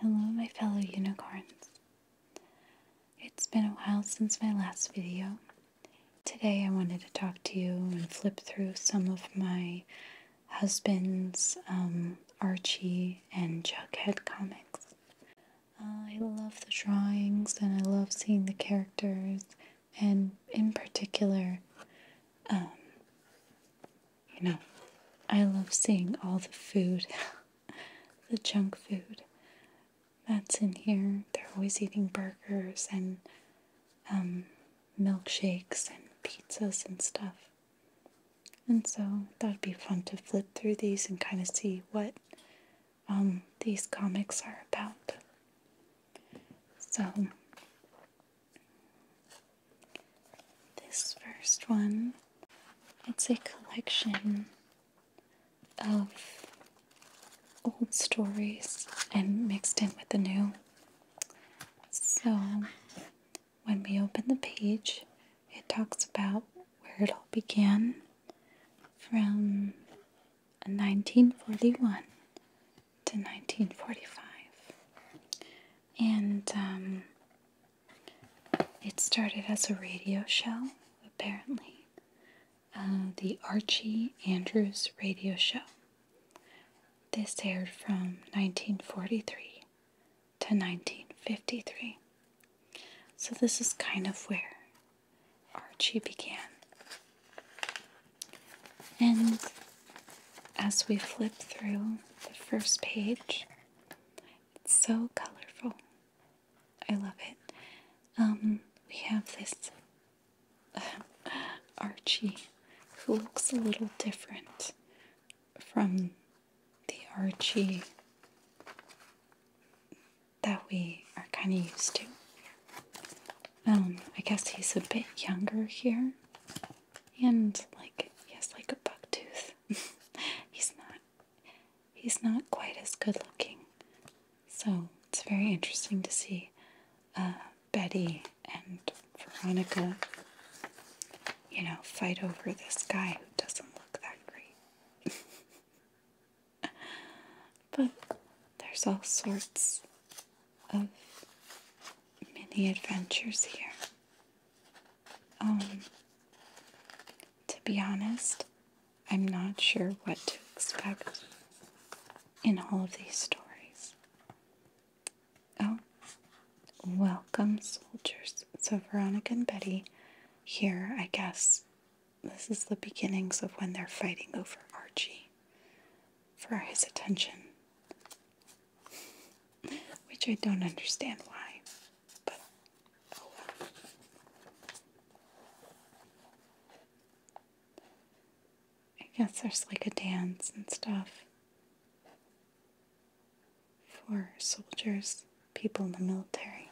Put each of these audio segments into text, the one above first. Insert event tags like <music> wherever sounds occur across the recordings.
Hello, my fellow unicorns. It's been a while since my last video. Today, I wanted to talk to you and flip through some of my husband's um, Archie and Jughead comics. Uh, I love the drawings and I love seeing the characters and in particular, um, you know, I love seeing all the food, <laughs> the junk food that's in here. They're always eating burgers and um, milkshakes and pizzas and stuff. And so that'd be fun to flip through these and kind of see what um, these comics are about. So, this first one, it's a collection of old stories and mixed in with the new. So, when we open the page, it talks about where it all began from 1941 to 1945. And um, it started as a radio show, apparently. Uh, the Archie Andrews Radio Show. This aired from 1943 to 1953. So, this is kind of where Archie began. And as we flip through the first page, it's so colorful. I love it. Um, we have this <laughs> Archie who looks a little different from the Archie that we are kind of used to. Um, I guess he's a bit younger here. And like he has like a buck tooth. <laughs> he's not he's not quite as good looking. So it's very interesting to see uh, Betty and Veronica, you know, fight over this guy who doesn't look that great. <laughs> but there's all sorts of many adventures here. Um, to be honest, I'm not sure what to expect in all of these stories. Oh, welcome, soldiers. So, Veronica and Betty here, I guess, this is the beginnings of when they're fighting over Archie for his attention. Which I don't understand why, but oh I guess there's like a dance and stuff for soldiers, people in the military.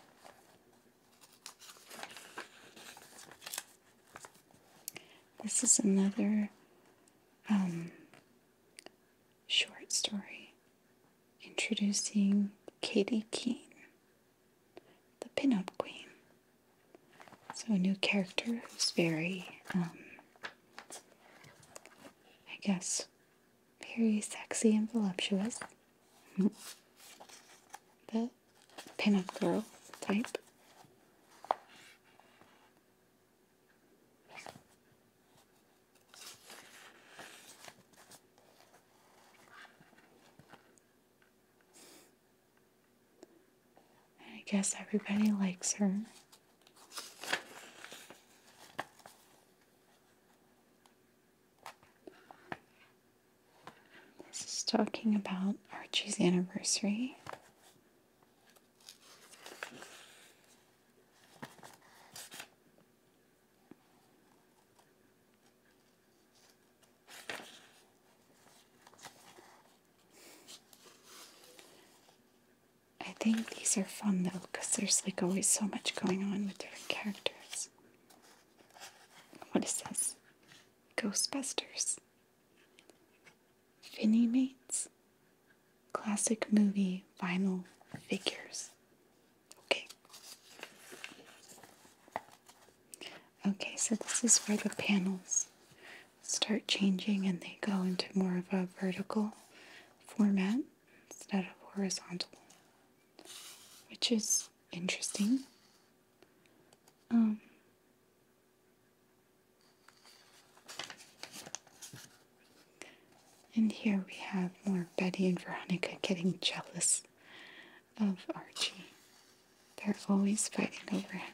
This is another um, short story introducing Katie Keene, the pinup queen. So, a new character who's very, um, I guess, very sexy and voluptuous. <laughs> but pinup girl type. I guess everybody likes her. This is talking about Archie's anniversary. I think these are fun though, because there's like always so much going on with different characters. What is this? Ghostbusters. Finney mates, Classic Movie Vinyl Figures. Okay. Okay, so this is where the panels start changing and they go into more of a vertical format instead of horizontal, which is interesting. Um, and here we have more Betty and Veronica getting jealous of Archie. They're always fighting over him.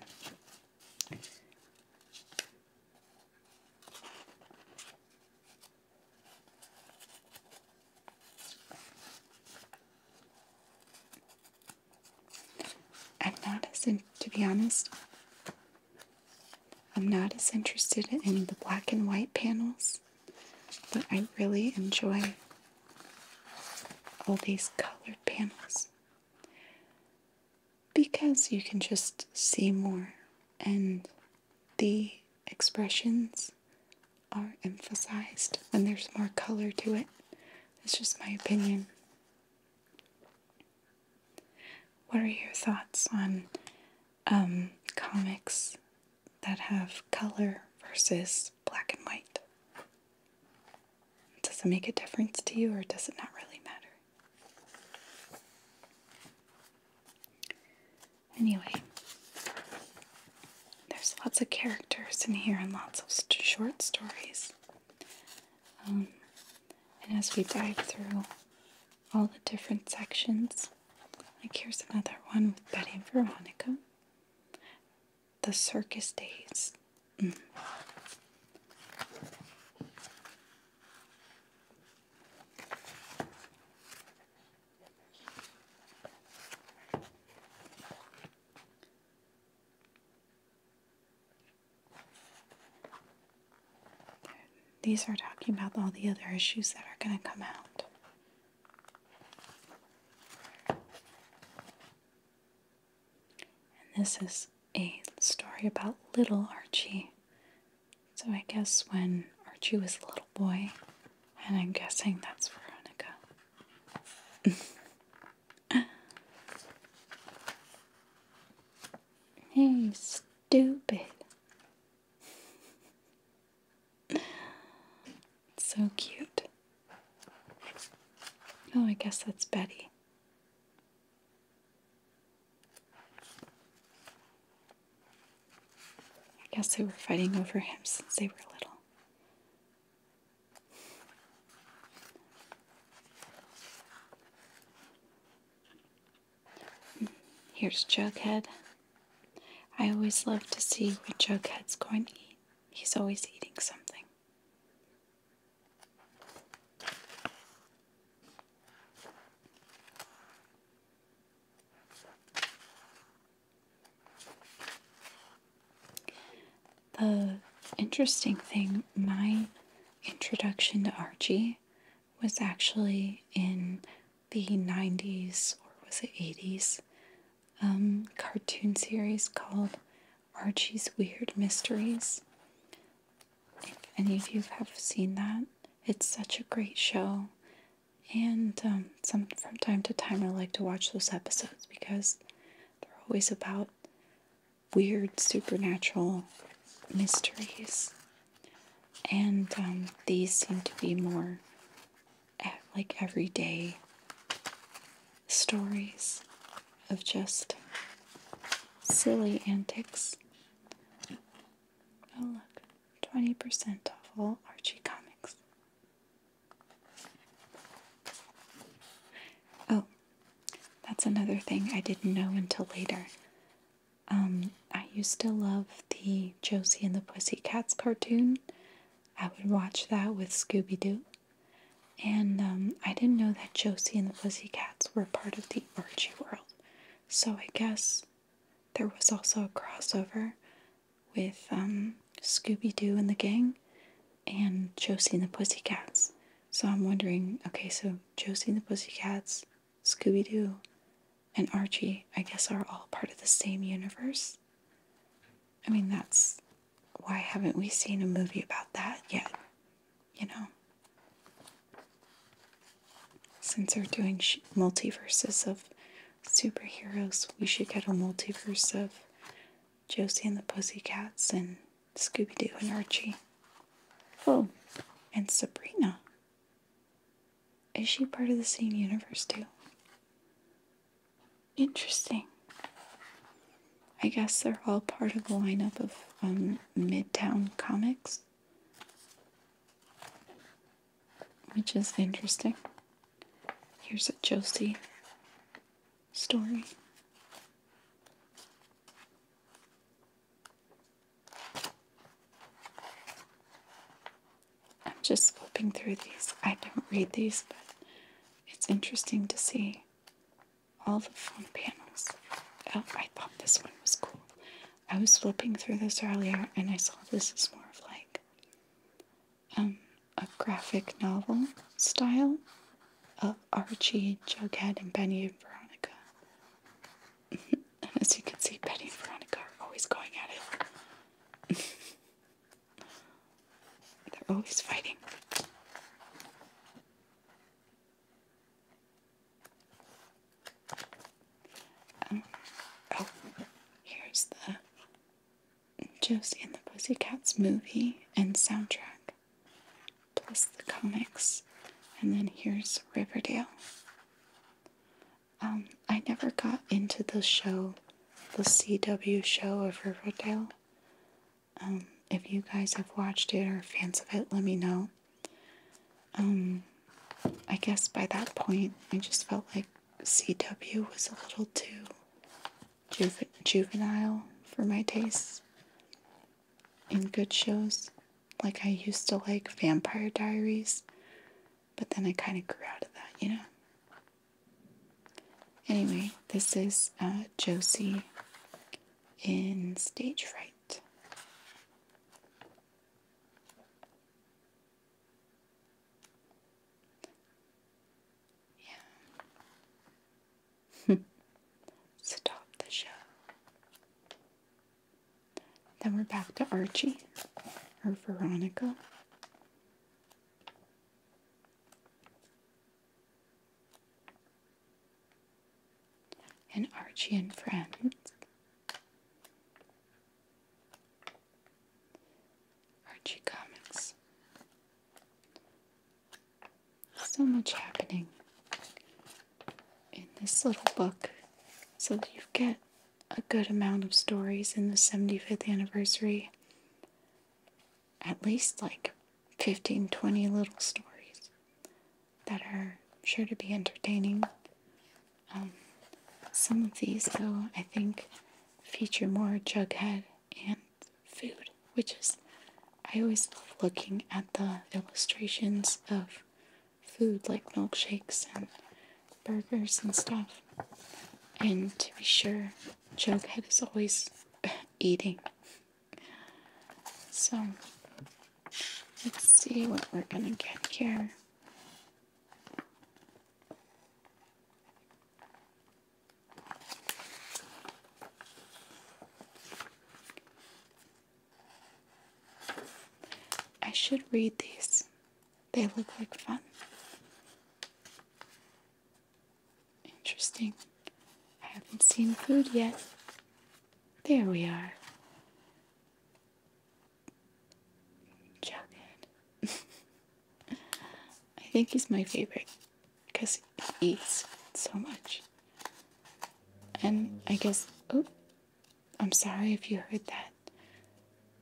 I'm not as to be honest. I'm not as interested in the black and white panels, but I really enjoy all these colored panels because you can just see more and the expressions are emphasized when there's more color to it. It's just my opinion. What are your thoughts on um, comics that have color versus black and white? Does it make a difference to you or does it not really matter? Anyway, there's lots of characters in here and lots of short stories. Um, and as we dive through all the different sections, like here's another one with Betty and Veronica, the circus days. Mm. These are talking about all the other issues that are going to come out. And this is a story about little Archie. So I guess when Archie was a little boy, and I'm guessing that's Veronica. <laughs> hey, stupid. so cute. Oh, I guess that's Betty. I guess they were fighting over him since they were little. Here's Jughead. I always love to see what Jughead's going to eat. He's always eating something. The interesting thing, my introduction to Archie was actually in the 90s or was it 80s um, cartoon series called Archie's Weird Mysteries. If any of you have seen that, it's such a great show. And um, some from time to time, I like to watch those episodes because they're always about weird supernatural mysteries. And um, these seem to be more like everyday stories of just silly antics. Oh, look, 20% off all Archie comics. Oh, that's another thing I didn't know until later. Um, I used to love the Josie and the Pussycats cartoon. I would watch that with Scooby Doo. And um, I didn't know that Josie and the Pussycats were part of the Archie world. So I guess there was also a crossover with um, Scooby Doo and the gang and Josie and the Pussycats. So I'm wondering okay, so Josie and the Pussycats, Scooby Doo, and Archie, I guess, are all part of the same universe. I mean, that's why haven't we seen a movie about that yet? You know? Since they're doing multiverses of superheroes, we should get a multiverse of Josie and the Pussycats and Scooby Doo and Archie. Oh, and Sabrina. Is she part of the same universe too? Interesting. I guess they're all part of the lineup of um, Midtown Comics, which is interesting. Here's a Josie story. I'm just flipping through these. I don't read these, but it's interesting to see all the phone panels. Oh, I thought this one was cool. I was flipping through this earlier and I saw this is more of like um a graphic novel style of Archie, Jughead, and Betty and Veronica. and as you can see, Betty and Veronica are always going at it. <laughs> They're always fighting. Um, oh, here's the Josie and the Pussycats movie and soundtrack plus the comics, and then here's Riverdale. Um, I never got into the show, the CW show of Riverdale. Um, if you guys have watched it or fans of it, let me know. Um, I guess by that point, I just felt like CW was a little too juvenile for my tastes. And good shows, like I used to like Vampire Diaries, but then I kind of grew out of that, you know? Anyway, this is uh, Josie in Stage Fright. Yeah. <laughs> Stop the show. Then we're back to Archie or Veronica. And Archie and friends. Archie Comics. So much happening in this little book. So you get a good amount of stories in the 75th anniversary. At least like 15, 20 little stories that are sure to be entertaining. Um, some of these, though, I think feature more Jughead and food, which is, I always love looking at the illustrations of food like milkshakes and burgers and stuff. And to be sure, Jughead is always <laughs> eating. So, let's see what we're gonna get here. I should read these. They look like fun. Interesting. I haven't seen food yet. There we are. Jughead. <laughs> I think he's my favorite because he eats so much. And I guess, oh, I'm sorry if you heard that.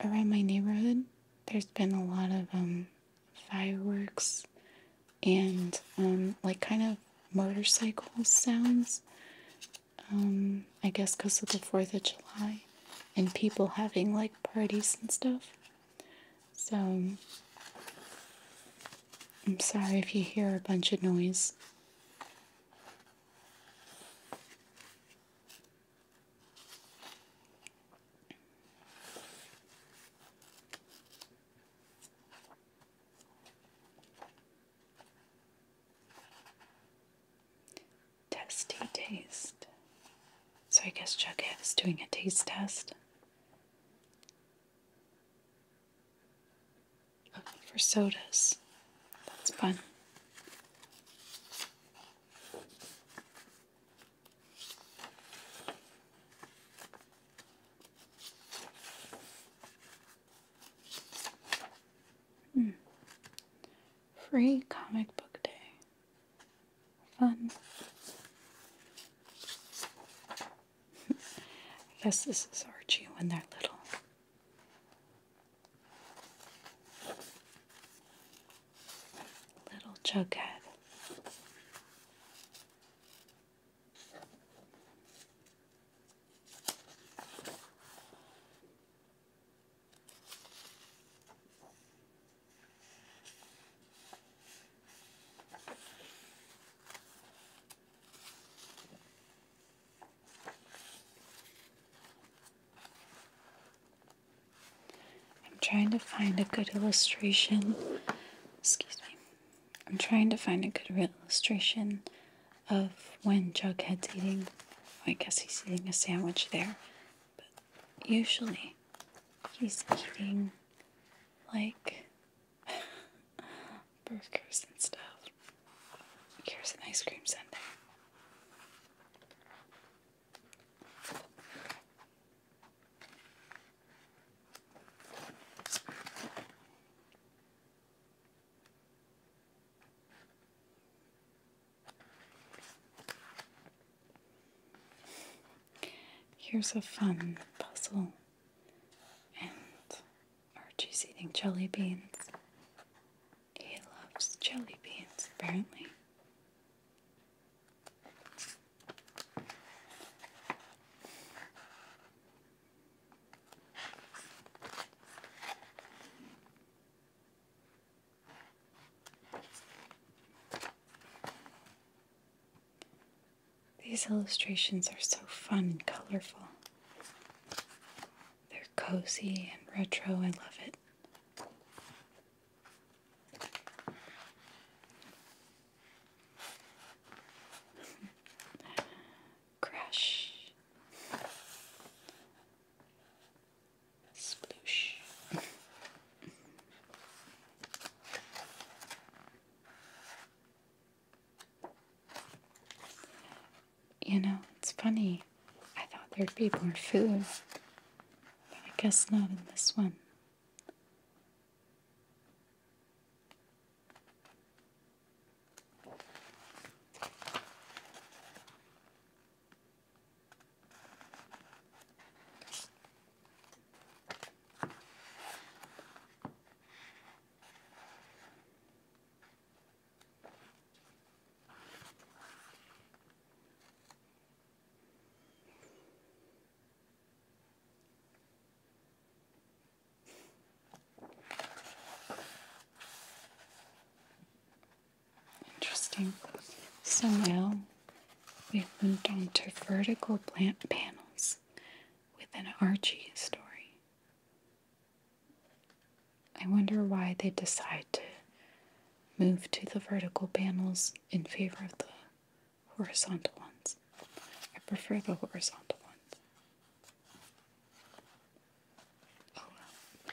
Around my neighborhood, there's been a lot of um, fireworks and um, like kind of motorcycle sounds. Um, I guess because of the 4th of July and people having like parties and stuff. So, I'm sorry if you hear a bunch of noise. Testy taste. So I guess Jughead is doing a taste test for sodas. That's fun. Hmm. Free comic book day. Fun. I <laughs> guess this is Archie when they're little. Little Jughead. I'm trying to find a good illustration. Excuse me. I'm trying to find a good illustration of when Jughead's eating. Oh, I guess he's eating a sandwich there. But usually he's eating like <laughs> burgers and stuff. Here's an ice cream sundae. Here's a fun puzzle and Archie's eating jelly beans. He loves jelly beans, apparently. These illustrations are so fun and colorful. They're cozy and retro, I love it. <laughs> Crash. Sploosh. <laughs> You know, it's funny. I thought there'd be more food, but I guess not in this one. Interesting. So now we've moved on to vertical plant panels with an Archie story. I wonder why they decide to move to the vertical panels in favor of the horizontal ones. I prefer the horizontal ones. Oh,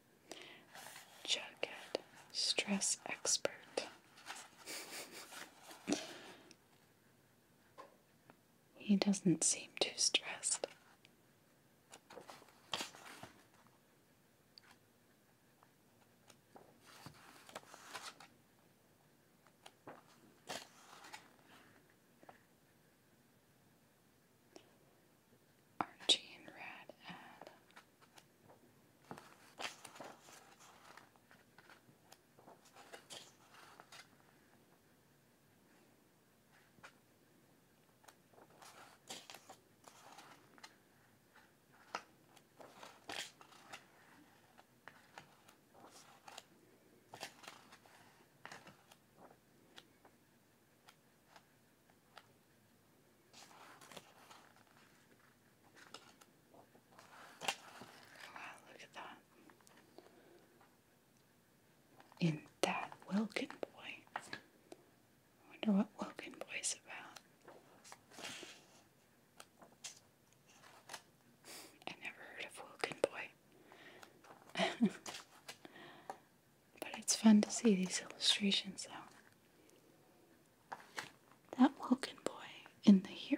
Jughead, stress expert. he doesn't seem too stressed. Archie and Rad ad look at that. In that Wilkin boy. I wonder what Wilkin boy's about. I never heard of Wilkin boy. <laughs> but it's fun to see these illustrations though that Wilkin boy in the hero.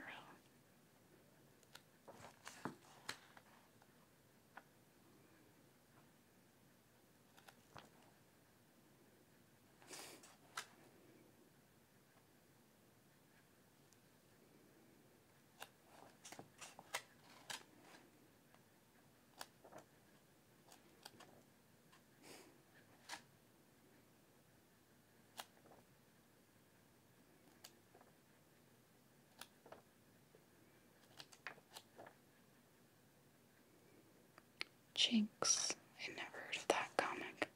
Jinx. I never heard that comic.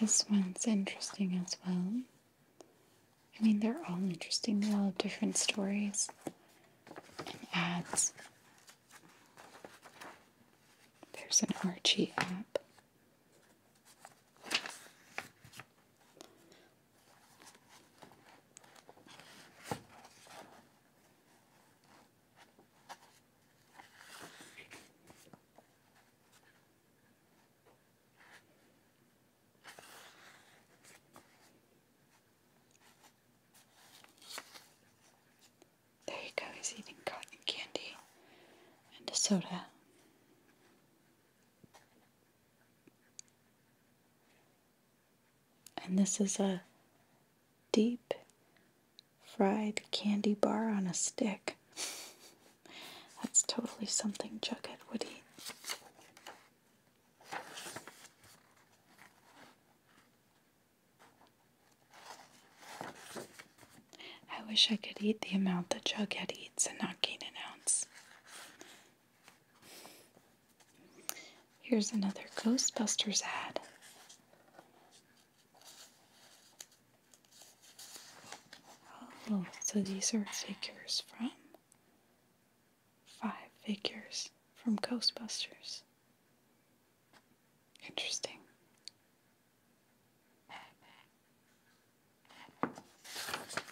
This one's interesting as well. I mean, they're all interesting, they're all different stories and ads. There's an Archie app. There you go, he's eating cotton candy and a soda. And this is a deep fried candy bar on a stick. <laughs> That's totally something Jughead would eat. I wish I could eat the amount that Jughead eats and not gain an ounce. Here's another Ghostbusters ad. Oh, so these are figures from five figures from Ghostbusters. Interesting.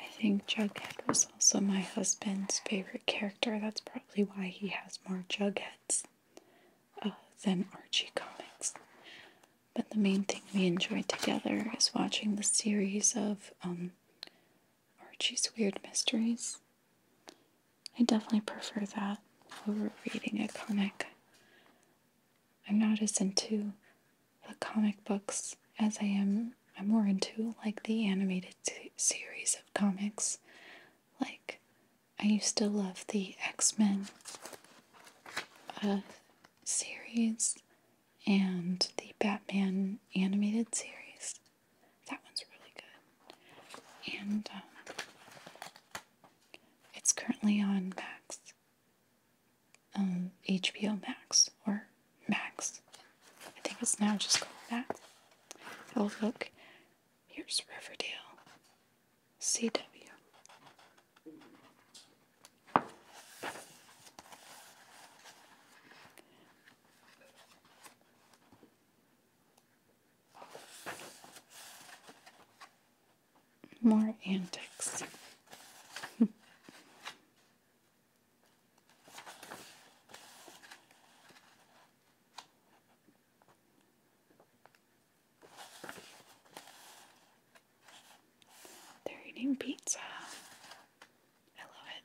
I think Jughead was also my husband's favorite character. That's probably why he has more Jugheads uh, than Archie comics. But the main thing we enjoyed together is watching the series of um, Archie's Weird Mysteries. I definitely prefer that over reading a comic. I'm not as into the comic books as I am. I'm more into like the animated series of comics. Like, I used to love the X Men uh, series and the Batman animated series. That one's really good. And um, it's currently on Max. Um, HBO Max or Max. I think it's now just called that. Oh, look, here's Riverdale. CW. More antics. <laughs> They're eating pizza. I love it.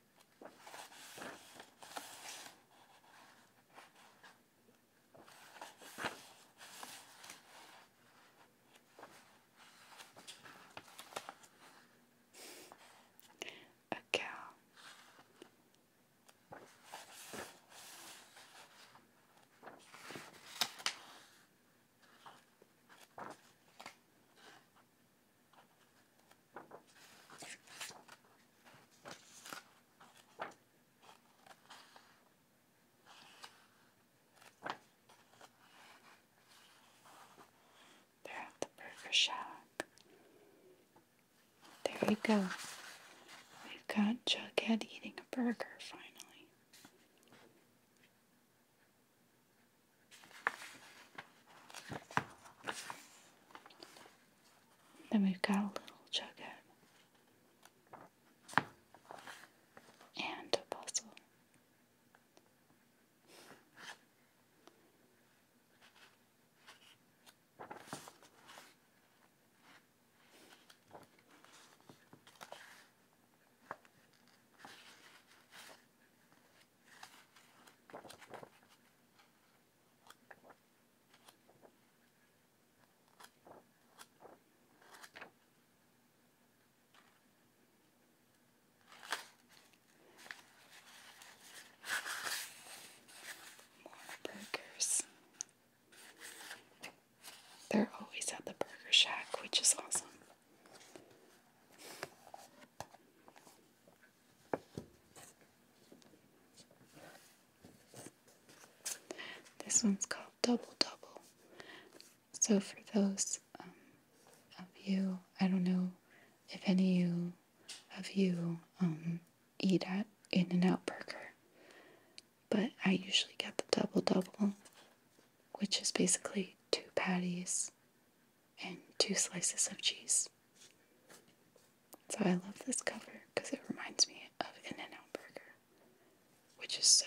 A cow they at the burger shop. There you go. We've got Jughead eating a burger finally. Then we've got a little jughead and a puzzle. More burgers. They're always at the Burger Shack, which is awesome. This one's called Double Double. So, for those um, of you, I don't know if any of you um, eat at In N Out Burger, but I usually get the Double Double, which is basically two patties and two slices of cheese. So I love this cover because it reminds me of In and Out Burger, which is so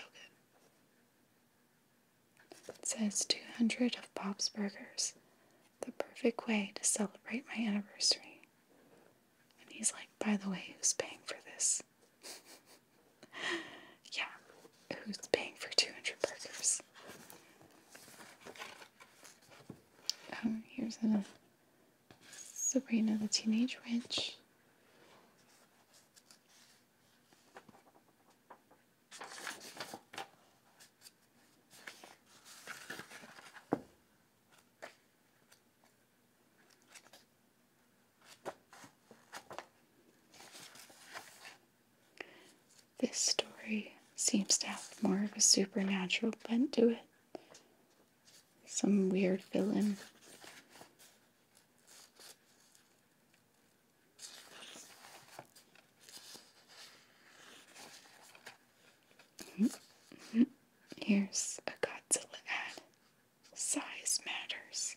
good. It says 200 of Bob's Burgers, the perfect way to celebrate my anniversary. And he's like, by the way, who's paying for this? <laughs> yeah, who's paying for 200 burgers? Um, here's a Sabrina the Teenage Witch. This story seems to have more of a supernatural bent to it. Some weird villain. Here's a Godzilla ad. Size matters.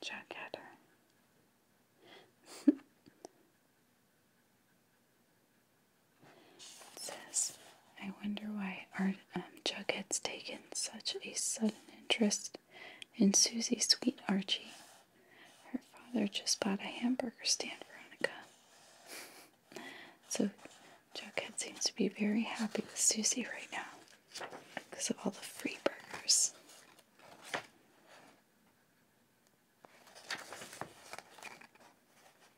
Jack Adder. <laughs> says, I wonder why Art, um, Jughead's taken such a sudden interest in Susie's sweet Archie. Her father just bought a hamburger stand, Veronica. <laughs> so Jughead seems to be very happy with Susie right now because of all the free burgers.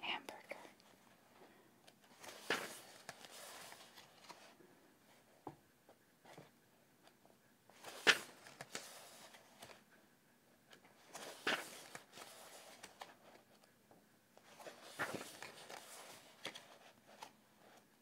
Hamburger.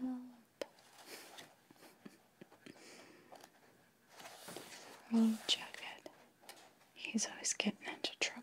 Help. Old Jughead. He's always getting into trouble.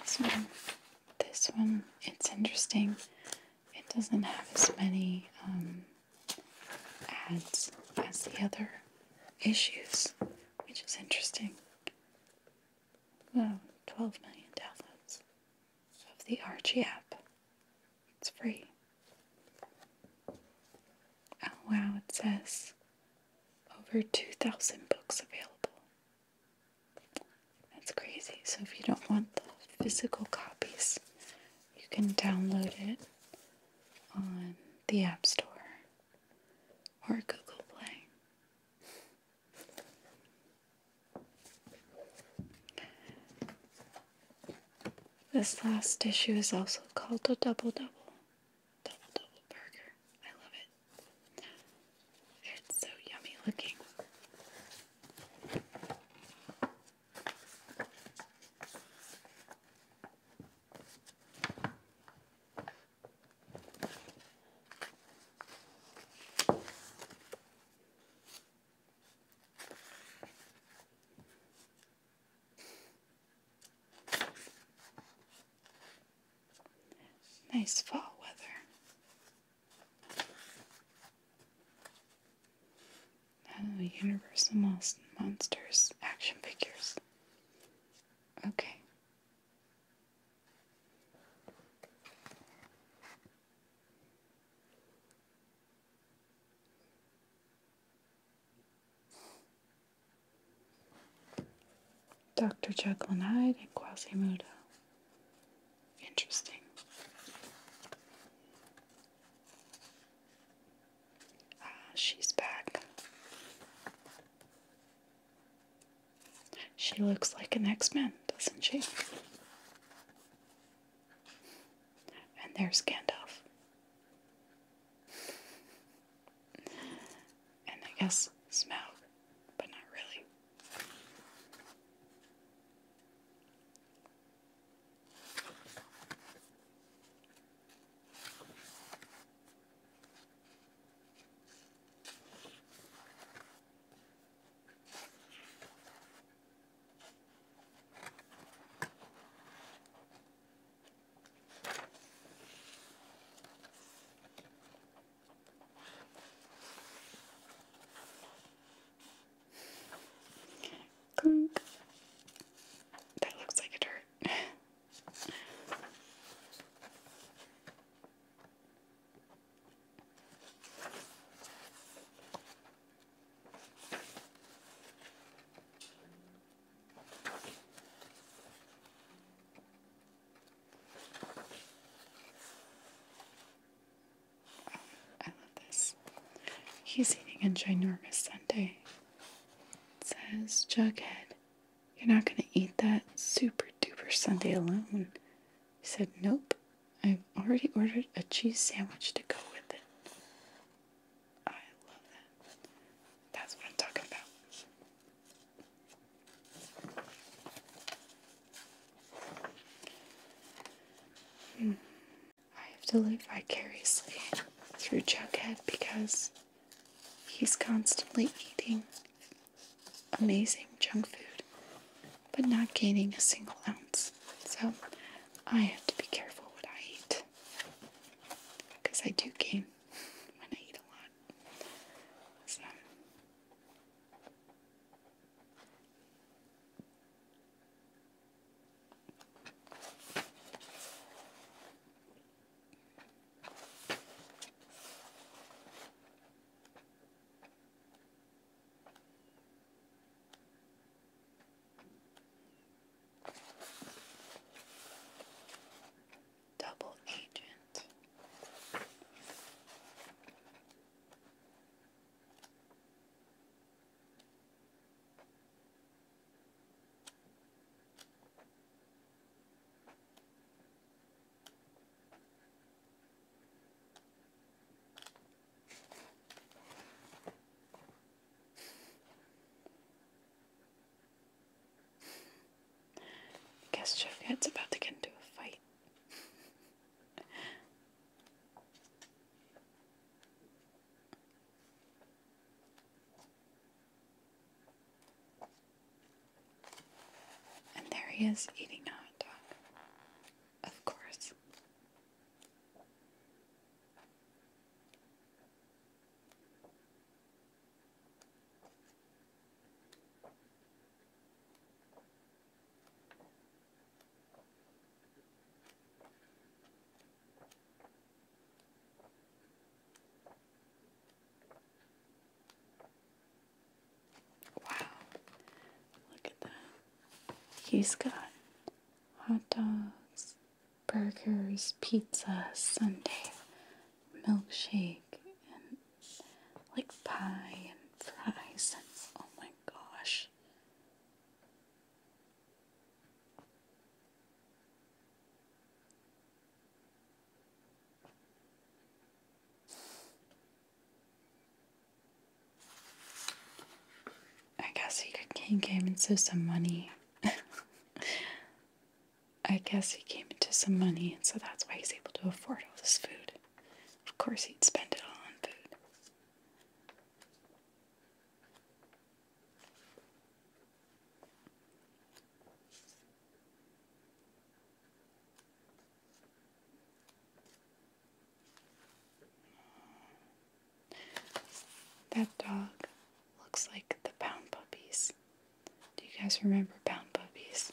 This one, this one, it's interesting. It doesn't have as many um, ads as the other issues, which is interesting. Well, 12 million downloads of the Archie app. It's free. Oh wow, it says over 2,000 books available. That's crazy. So if you don't want the physical copies, you can download it on the App Store or Google Play. This last issue is also called a double double. Double double burger. I love it. It's so yummy looking. Nice fall weather. Oh, Universal Monsters action figures. Okay. Dr. Jekyll and Hyde and Quasimodo. Interesting. Ah, she's back. She looks like an X-Men, doesn't she? And there's Gandalf. And I guess Smaug, but not really. Clink. That looks like a dirt. <laughs> I love this. He's eating a ginormous sundae says, Jughead, you're not going to eat that super duper Sunday alone. said, Nope, I've already ordered a cheese sandwich to go with it. I love that. That's what I'm talking about. Hmm. I have to live vicariously through Jughead because He's constantly eating amazing junk food, but not gaining a single ounce. So I have to be careful what I eat because I do gain <laughs> when I eat a lot. Double agent. I guess Jeffhead's about to get into a fight. And there he is eating a dog. Of course. Wow, look at that. He's got hot dogs, burgers, pizza, sundae, milkshake, and like pie and fries. oh my gosh. I guess he came, into some money. <laughs> I guess he came into some money, and so that's why he's able to afford all this food. Of course, he'd spend it all on food. That dog looks like the pound puppies. Do you guys remember pound puppies?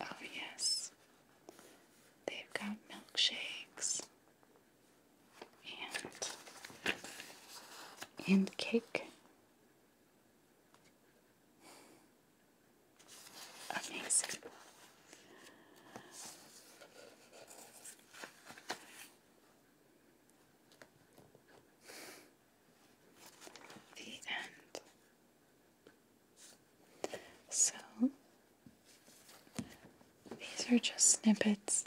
Oh, yes, they've got milkshakes and and cake. Amazing. The end. So, these are just snippets.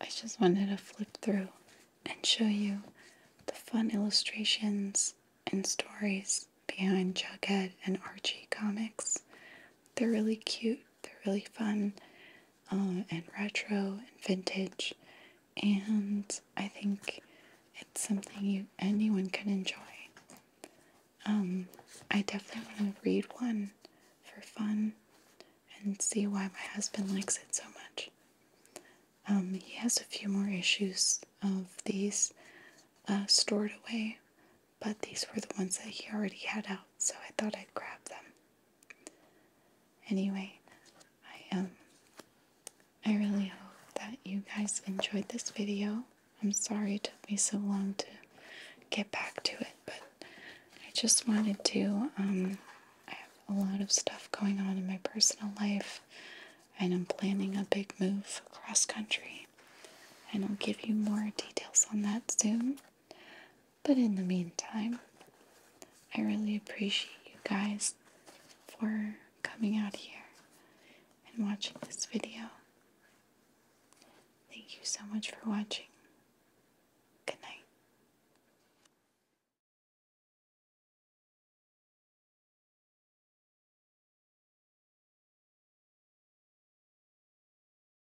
I just wanted to flip through and show you the fun illustrations and stories behind Jughead and Archie comics. They're really cute they're really fun um, and retro and vintage, and I think it's something you anyone can enjoy. Um, I definitely want to read one for fun and see why my husband likes it so much. Um, he has a few more issues of these uh, stored away, but these were the ones that he already had out, so I thought I'd grab them. Anyway, I um I really hope that you guys enjoyed this video. I'm sorry it took me so long to get back to it, but I just wanted to um I have a lot of stuff going on in my personal life and I'm planning a big move across country and I'll give you more details on that soon. But in the meantime, I really appreciate you guys for coming out here and watching this video. Thank you so much for watching. Good night.